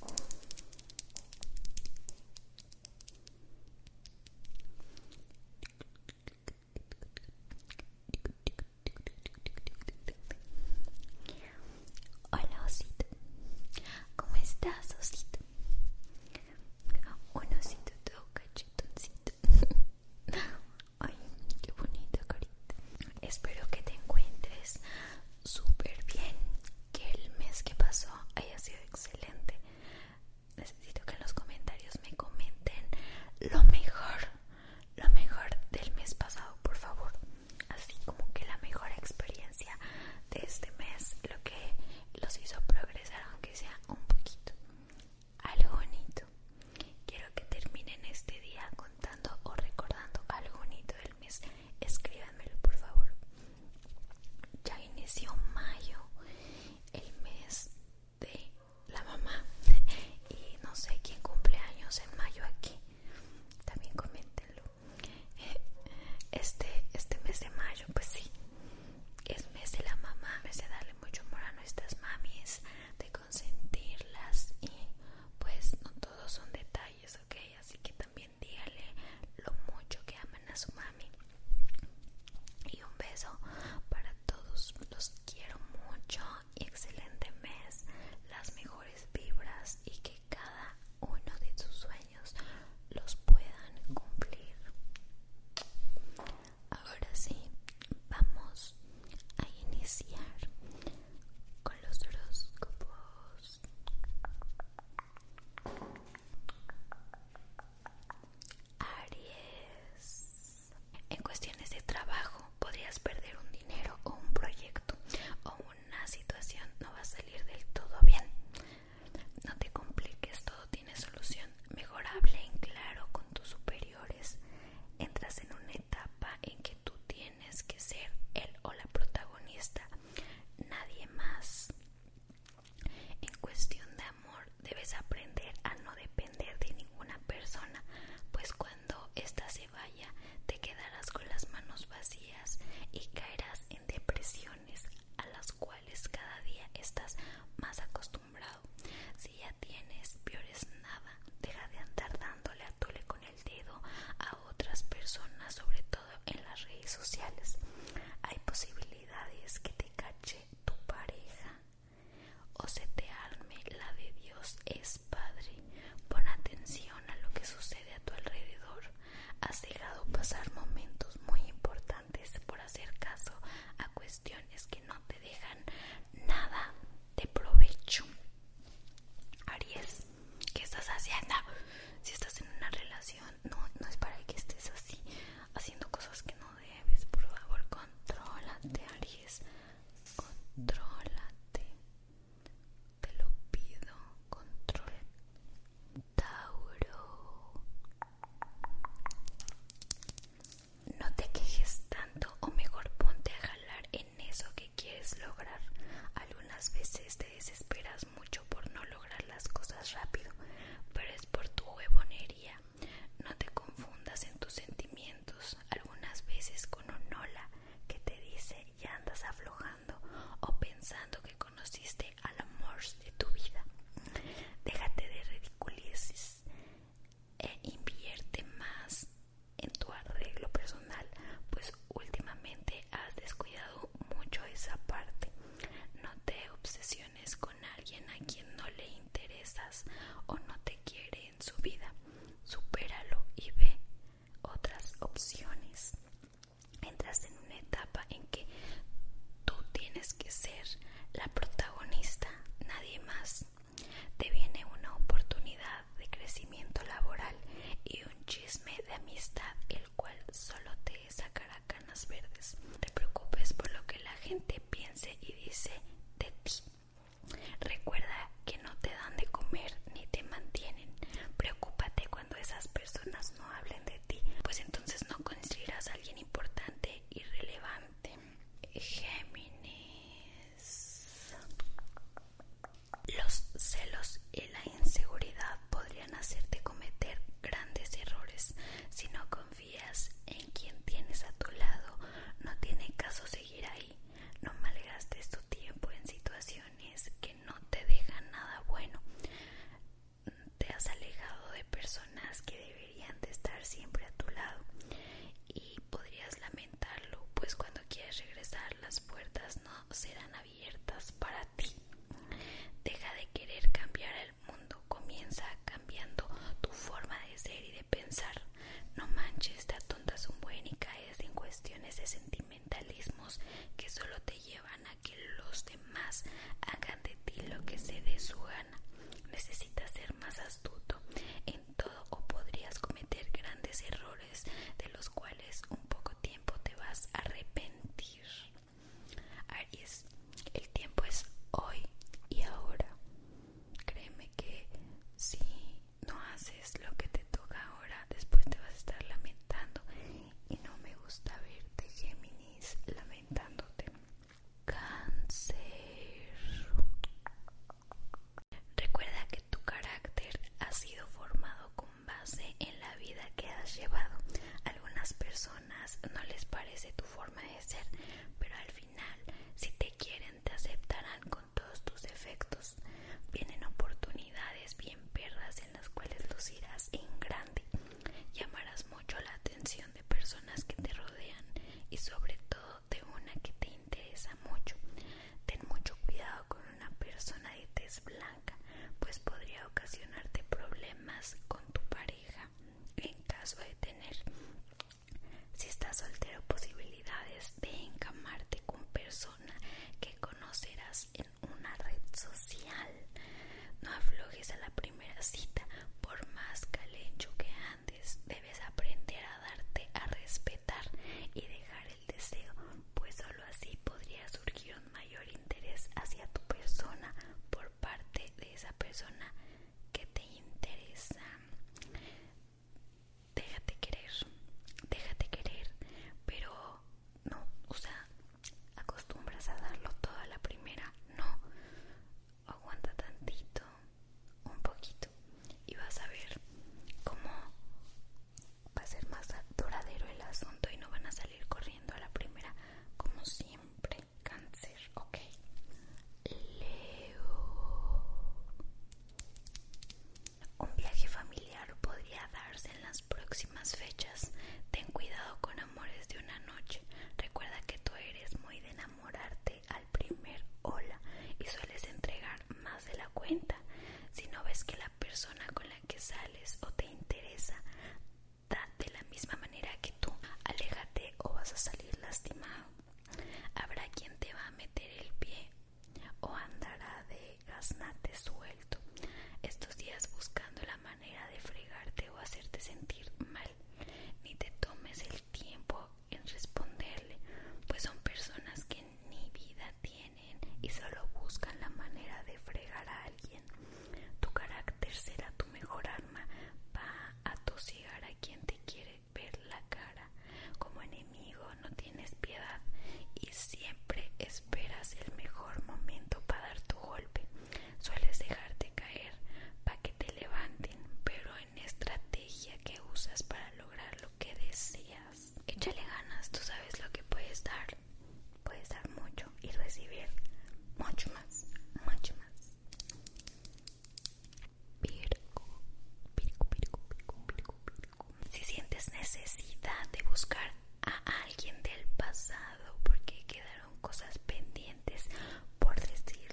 Hola osito, ¿cómo estás osito? Un osito todo cachetoncito Ay, qué bonito carita Espero que te encuentres súper bien que el mes que pasó haya sido excelente. Necesito que en los comentarios me comenten lo mejor, lo mejor del mes pasado, por favor. Así como que la mejor experiencia de este mes, lo que los hizo progresar, aunque sea un poquito. Algo bonito. Quiero que terminen este día contando o recordando algo bonito del mes escríbanmelo por favor. Ya inició mayo, el mes de la mamá. Y no sé quién cumple años en mayo aquí. También coméntenlo. Este, este mes de mayo, pues sí. Es mes de la mamá. Mes de darle mucho amor a nuestras mamis. De consentirlas. Y pues no todos son detalles, ok. Así que también dígale lo mucho que aman a su mami. Y un beso para todos. Los quiero mucho y excelente mes. Las mejores vibras y que cada uno de sus sueños los puedan cumplir. Ahora sí, vamos a iniciar con los horóscopos. Aries. En cuestiones de trabajo, podrías perder un dinero o un proyecto o una situación no va a salir del todo bien. No te compliques, todo tiene solución. mejorable, en claro con tus superiores. Entras en una etapa en que tú tienes tienes que ser el o la protagonista, nadie más. En cuestión de amor, debes aprender a no depender de ninguna persona, pues cuando ésta se vaya, te quedarás con las manos vacías y caerás en depresiones a las cuales cada día estás más acostumbrado. Si ya tienes, peores nada, deja de andar dándole a tu con el dedo a otras personas, sobre todo en las redes sociales. Hay posibilidades que te cache tu pareja o se te arme la de Dios es Padre. Pon atención a lo que sucede a tu alrededor. Has dejado pasar momentos muy importantes por hacer caso a cuestiones que no te dejan nada de provecho. Aries, ¿qué estás haciendo? Si estás en una relación, no, no es para que estés así, haciendo cosas que no debes. Por favor, contrólate, Aries. controlate Te lo pido. Control. Tauro. No te quejes tanto, o mejor ponte a jalar en eso que quieres lograr. Algunas veces te desesperas mucho por no lograr las cosas rápido, pero es por tu huevonería. No te confundas en tus sentimientos, algunas veces con un hola que te dice ya andas aflojando o pensando que conociste al amor de tu vida. Déjate de ridiculices e invierte más en tu arreglo personal, pues últimamente has descuidado mucho esa parte. No te obsesiones con alguien a quien no le interesas o no te quiere en su vida. Supéralo y ve otras opciones. Entras en una etapa en que tú tienes que ser la protagonista, nadie más. Te viene una oportunidad de crecimiento laboral y un chisme de amistad el cual solo te sacará canas verdes. te preocupes por lo que la gente piense y dice de ti. Recuerda que no te dan de comer ni te mantienen. Preocúpate cuando esas personas no hablen de ti, pues entonces no construirás a alguien importante y relevante. Géminis. Los celos y la inseguridad podrían hacerte cometer grandes errores. Si no confías en quien tienes a tu lado, no tiene caso seguir ahí. No malgastes tu tiempo en situaciones que no te dejan nada bueno. Te has alejado de personas que deberían de estar siempre a tu lado y podrías lamentar pues cuando quieres regresar las puertas no serán abiertas para ti. Deja de querer cambiar el mundo, comienza cambiando tu forma de ser y de pensar. No manches, de tontas, un buen y caes en cuestiones de sentimentalismos que solo te llevan a que los demás hagan de ti lo que se dé su gana. Necesitas ser más astuto todo o podrías cometer grandes errores de los cuales un poco tiempo te vas a arrepentir. Aries, el tiempo es hoy y ahora. Créeme que si no haces lo que te toca ahora, después te vas a estar lamentando y no me gusta verte, Géminis, lamentándote. Cáncer. Recuerda que tu carácter ha sido formado con base en la vida que has llevado. algunas personas no les parece tu forma de ser, pero al final, si te quieren, te aceptarán con todos tus defectos. Vienen oportunidades bien perras en las cuales lucirás en grande. Llamarás mucho la atención de personas que te rodean y sobre todo de una que te interesa mucho. Ten mucho cuidado con una persona de tez blanca, pues podría ocasionarte problemas con tu pareja en caso de tener. Si estás soltero, posibilidades de encamarte con persona que conocerás en una red social. No aflojes a la primera cita, por más calencho que debes aprender a darte a respetar y dejar el deseo, pues solo así podría surgir un mayor interés hacia tu persona por parte de esa persona que te interesa. Déjate querer, déjate querer, pero no, o sea, acostumbras a darlo toda la primera, no aguanta tantito, un poquito y vas a ver cómo va a ser más duradero el asunto y no van a salir corriendo a la primera como siempre cáncer, ok Leo un viaje familiar podría darse en las próximas fechas ten cuidado con amores de una noche recuerda que tú eres muy de enamorarte al primer hola y sueles entregar más de la cuenta. Si no ves que la persona con la que sales o te interesa da de la misma manera que tú, aléjate o vas a salir lastimado. Habrá quien te va a meter el pie o andará de gaznate suelto estos días buscando la manera de fregarte o hacerte sentir mal. Ni te tomes el tiempo en responderle, pues son personas que ni vida tienen y solo buscan la manera de fregar a alguien. Tu carácter será tu mejor arma, va a a quien te quiere ver la cara. Como enemigo no tienes piedad y siempre esperas el mejor momento para dar tu golpe. Sueles dejarte caer para que te levanten, pero estrategia que usas para lograr lo que deseas. Échale ganas, tú sabes lo que puedes dar. Puedes dar mucho y recibir mucho más, mucho más. Si sientes necesidad de buscar a alguien del pasado porque quedaron cosas pendientes por decir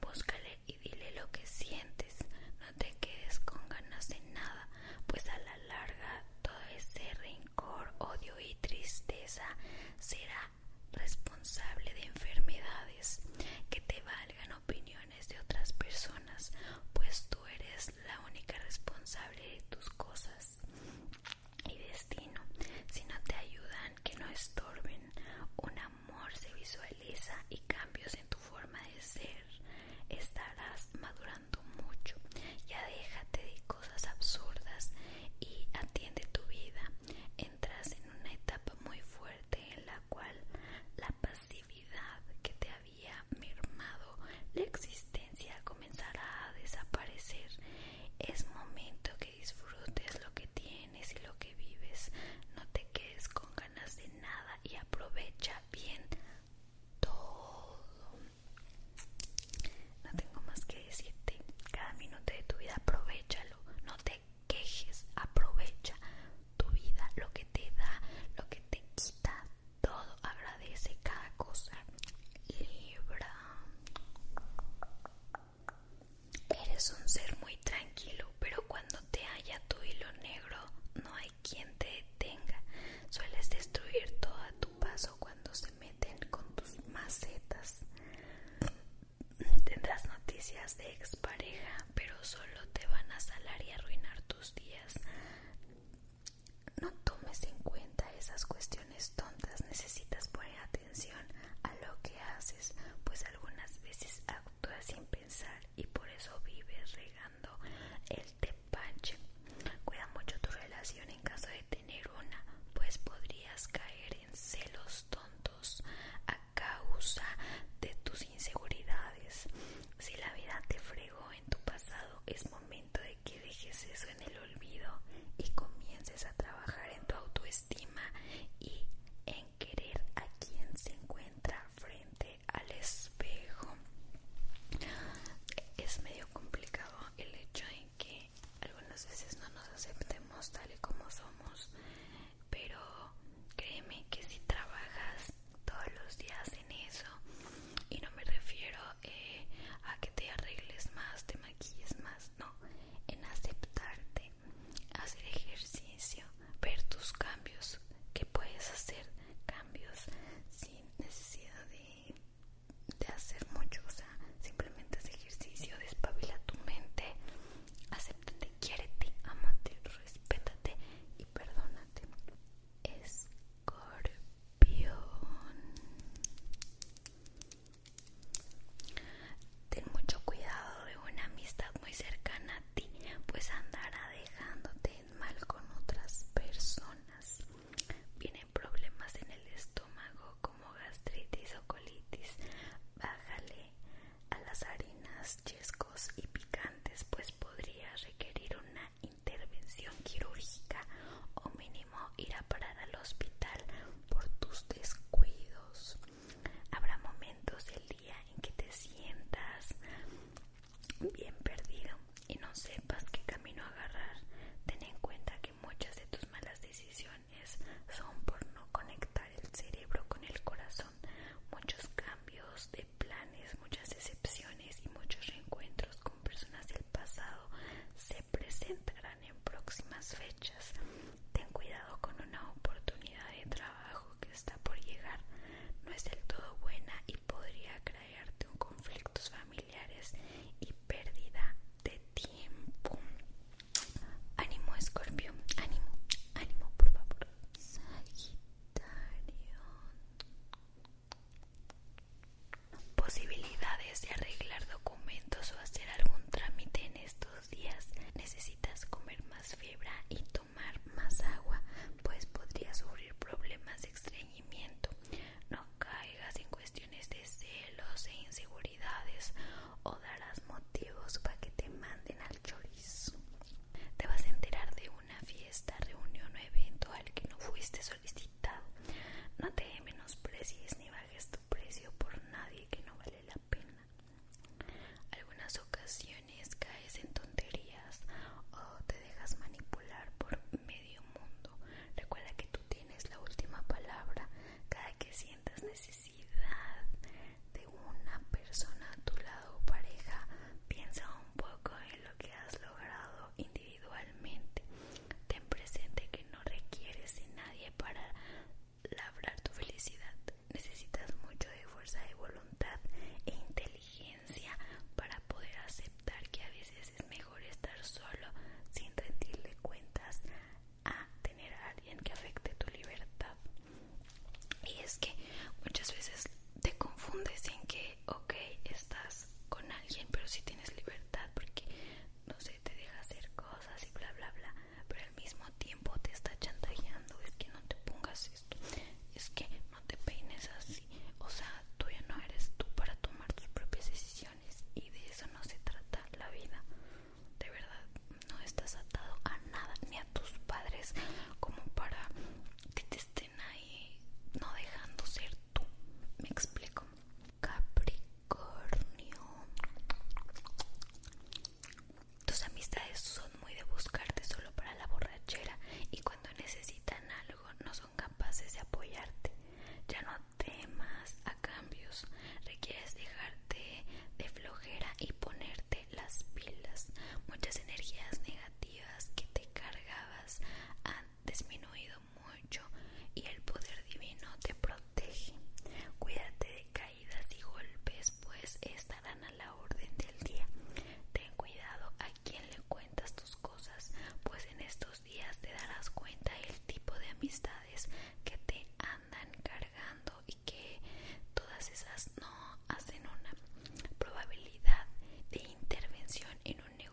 búscale y dile lo que sientes. No te quedes con ganas de nada, pues a la larga todo ese rencor, odio y tristeza será responsable de enfermedades que te valgan opiniones de otras personas, pues tú eres la única responsable de tus cosas y destino. Si no te ayudan que no estorben. Un amor se visualiza y cambios en tu forma de ser. Estarás madurando mucho. Ya déjate de cosas absurdas y atiende tu vida. Entras en una etapa muy fuerte en la cual la pasividad que te había mermado la existencia comenzará a desaparecer. Es momento que disfrutes lo que tienes y lo que vives. No te quedes con ganas de nada y aprovecha bien todo. No tengo más que decirte. Cada minuto de tu vida aprovechalo. No te quejes. Aprovecha tu vida, lo que te da, lo que te quita. Todo agradece cada cosa. Libra. Eres un ser muy tranquilo, pero cuando te halla tu hilo negro no hay quien te detenga. Sueles destruir todo a tu paso cuando se meten con tus macetas. Tendrás noticias de expareja, pero solo te van a salar y arruinar tus días. No tomes en cuenta esas cuestiones tontas necesitas poner atención a lo que haces, pues algunas veces actúas sin pensar y por eso vives regando el tepache. Cuida mucho tu relación en caso de tener una, pues podrías caer en celos tontos a causa de tus inseguridades. Si la vida te fregó en tu pasado, es momento de que dejes eso en el olvido y comiences a trabajar en tu autoestima y en querer a quien se encuentra frente al espejo. Es medio complicado el hecho en que algunas veces no nos aceptemos tal y como somos, pero créeme que si trabajas todos los días en eso, y no me refiero eh, a que te arregles más, te aquí es más, no, en aceptarte, hacer ejercicio, ver tus cambios, que puedes hacer cambios sin necesidad de, hacer mucho, o sea, simplemente es ejercicio, despabila tu mente, acéptate, quiérete, amate, respétate y perdónate. Escorpión. Ten mucho cuidado de una amistad muy cercana a ti, pues andará dejándote mal con otras personas. Vienen problemas en el estómago como gastritis o colitis. Bájale a las harinas, chescos y picantes, pues podría requerir una intervención quirúrgica o ir a parar al hospital por tus descuidos. Habrá momentos del día en que te sientas bien perdido y no sepas qué camino agarrar. Ten en cuenta que muchas de tus malas decisiones son por no conectar el cerebro con el corazón. Muchos cambios de planes, muchas excepciones y muchos reencuentros con personas del pasado se presentarán en próximas fechas. Ten cuidado con una oportunidad de trabajo que está por llegar. No es del todo buena y podría crearte un conflictos familiares y pérdida de tiempo. Ánimo, Escorpio. Ánimo, ánimo, por favor. Sagitario. Posibilidades de arreglar documentos o hacer algún trámite en estos días. Necesitas comer más fibra y tomar más agua, pues podrías sufrir problemas de estreñimiento. No caigas en cuestiones de celos e inseguridades o darás motivos para que te manden al chorizo. Te vas a enterar de una fiesta, reunión o evento al que no fuiste no te menosprecies ni bajes tu precio por nadie que no vale la pena. Algunas ocasiones caes en tonterías o te dejas manipular por medio mundo. Recuerda que tú tienes la última palabra. Cada que sientas necesidad de una persona a tu lado o pareja, piensa un poco en lo que has logrado individualmente individualmente. Ten presente que no requieres de nadie para labrar tu felicidad. Necesitas mucho de fuerza de voluntad e inteligencia para poder aceptar que a veces es mejor estar solo sin rendirle cuentas a tener a alguien que afecte tu libertad. Y es que muchas veces te confundes en que, ok, estás con alguien, pero si tienes libertad porque no sé te deja hacer cosas y bla bla bla pero al mismo tiempo te está chantajeando es que no te pongas esto es que no te peines así o sea tú ya no eres tú para tomar tus propias decisiones y de eso no se trata la vida de verdad no estás atado a nada ni a tus padres como para que te estén ahí no dejando ser me explico. Capricornio. Tus amistades son muy de buscarte solo para la borrachera y cuando necesitan algo no son capaces de apoyarte. Ya no temas a cambios. Requieres dejarte de flojera y ponerte las pilas. Muchas energías negativas que te cargabas han disminuido mucho y el poder divino te protege. Cuídate de caídas y golpes, pues estarán a la orden del día. Ten cuidado a quien le cuentas tus cosas, pues en estos días te darás cuenta el tipo de amistades que te andan cargando y que todas esas no hacen una probabilidad de intervención en un negocio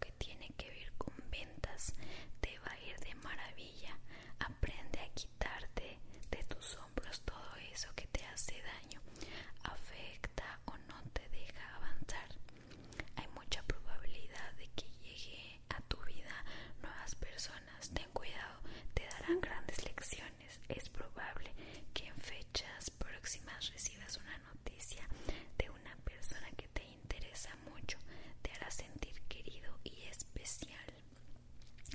que tiene que ver con ventas te va a ir de maravilla. Aprende a quitarte de tus hombros todo eso que te hace daño, afecta o no te deja avanzar. Hay mucha probabilidad de que llegue a tu vida nuevas personas. Ten cuidado, te darán grandes lecciones. Es probable que en fechas próximas recibas una noticia de una persona que te interesa mucho te hará sentir querido y especial.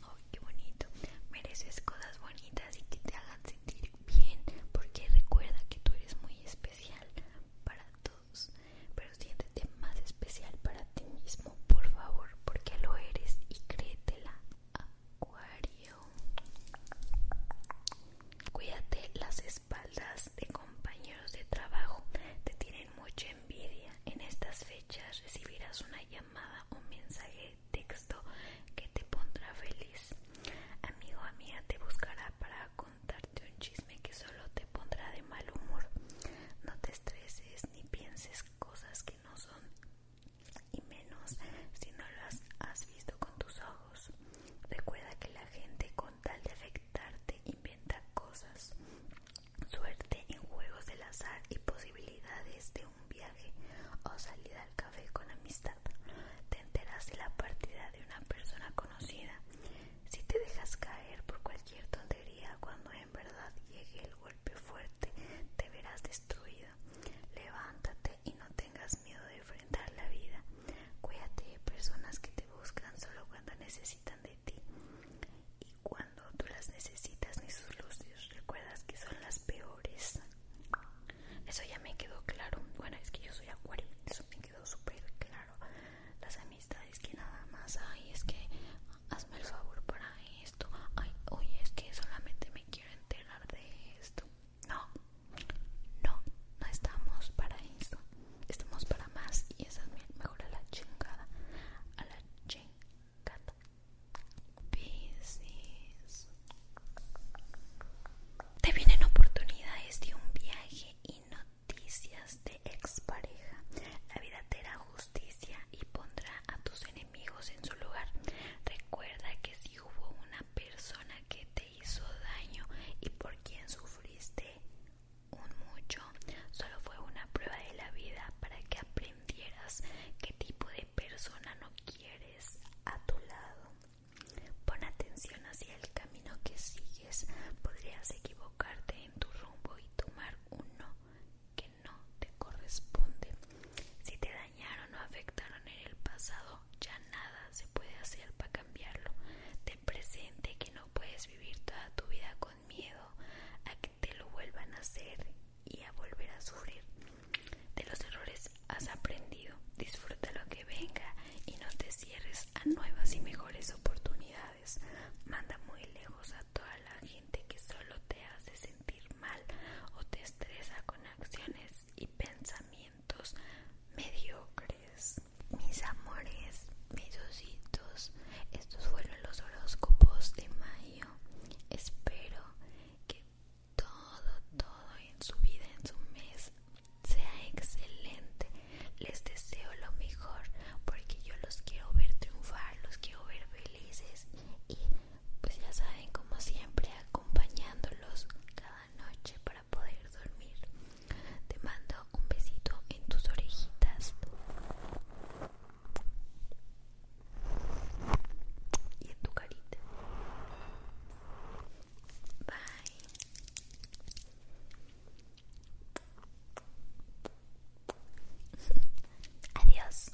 ¡Oh, qué bonito! Mereces cosas bonitas y que te hagan sentir bien, porque recuerda que tú eres muy especial para todos, pero siéntete más especial para ti mismo, por favor, porque lo eres y créetela, Acuario. Cuídate las espaldas de compañeros de trabajo, te tienen mucha envidia. En estas fechas recibirás una llamada, o mensaje, texto que te pondrá feliz. Amigo, amiga, te buscará para contarte un chisme que solo te pondrá de mal humor. No te estreses ni pienses cosas que no son y menos si no las has visto con tus ojos. Recuerda que la gente con tal de afectarte inventa cosas. Suerte en juegos del azar y posibilidades de un viaje o salida al café con amistad. Te enteras de la partida de una persona conocida. Si te dejas caer por cualquier tontería cuando en verdad llegue el golpe fuerte, te verás destruido. Levántate y no tengas miedo de enfrentar la vida. Cuídate de personas que te buscan solo cuando necesitan de ti y cuando tú las necesitas ni sus luces recuerdas que son las peores. Eso ya me quedó claro. Bueno, es que yo soy acuario, eso me quedó súper claro. Las amistades que nada más Ay, es que hazme el favor para esto. Ay, oye, es que solamente me quiero enterar de esto. No, no, no estamos para eso. Estamos para más y esa es mejor a la chingada. A la chingada. Piscis. Te vienen oportunidades de un viaje y noticias de expareja. La vida te da justicia y pondrá a tus enemigos en su lugar. Recuerda que si hubo una persona que te hizo daño y por quien sufriste un mucho, solo fue una prueba de la vida para que aprendieras qué tipo de persona no quieres a tu lado. Pon atención hacia el camino que sigues, podrías equivocarte en tu rumbo y tomar uno que no te corresponde. Si te da dañaron o afectaron en el pasado, ya nada se puede hacer para cambiarlo. Ten presente que no puedes vivir toda tu vida con miedo a que te lo vuelvan a hacer y a volver a sufrir. De los errores has aprendido, disfruta lo que venga y no te cierres a nuevas y mejores oportunidades. Manda muy lejos a toda la gente que solo te hace sentir mal o te estresa con acciones y pensamientos mediocres. Mis amores, mis ositos, estos fueron los horóscopos de mayo. Espero que todo, todo en su vida, en su mes, sea excelente. Les deseo lo mejor porque yo los quiero ver triunfar, los quiero ver felices y pues ya saben como siempre acompañándolos cada noche para poder dormir te mando un besito en tus orejitas y en tu carita bye adiós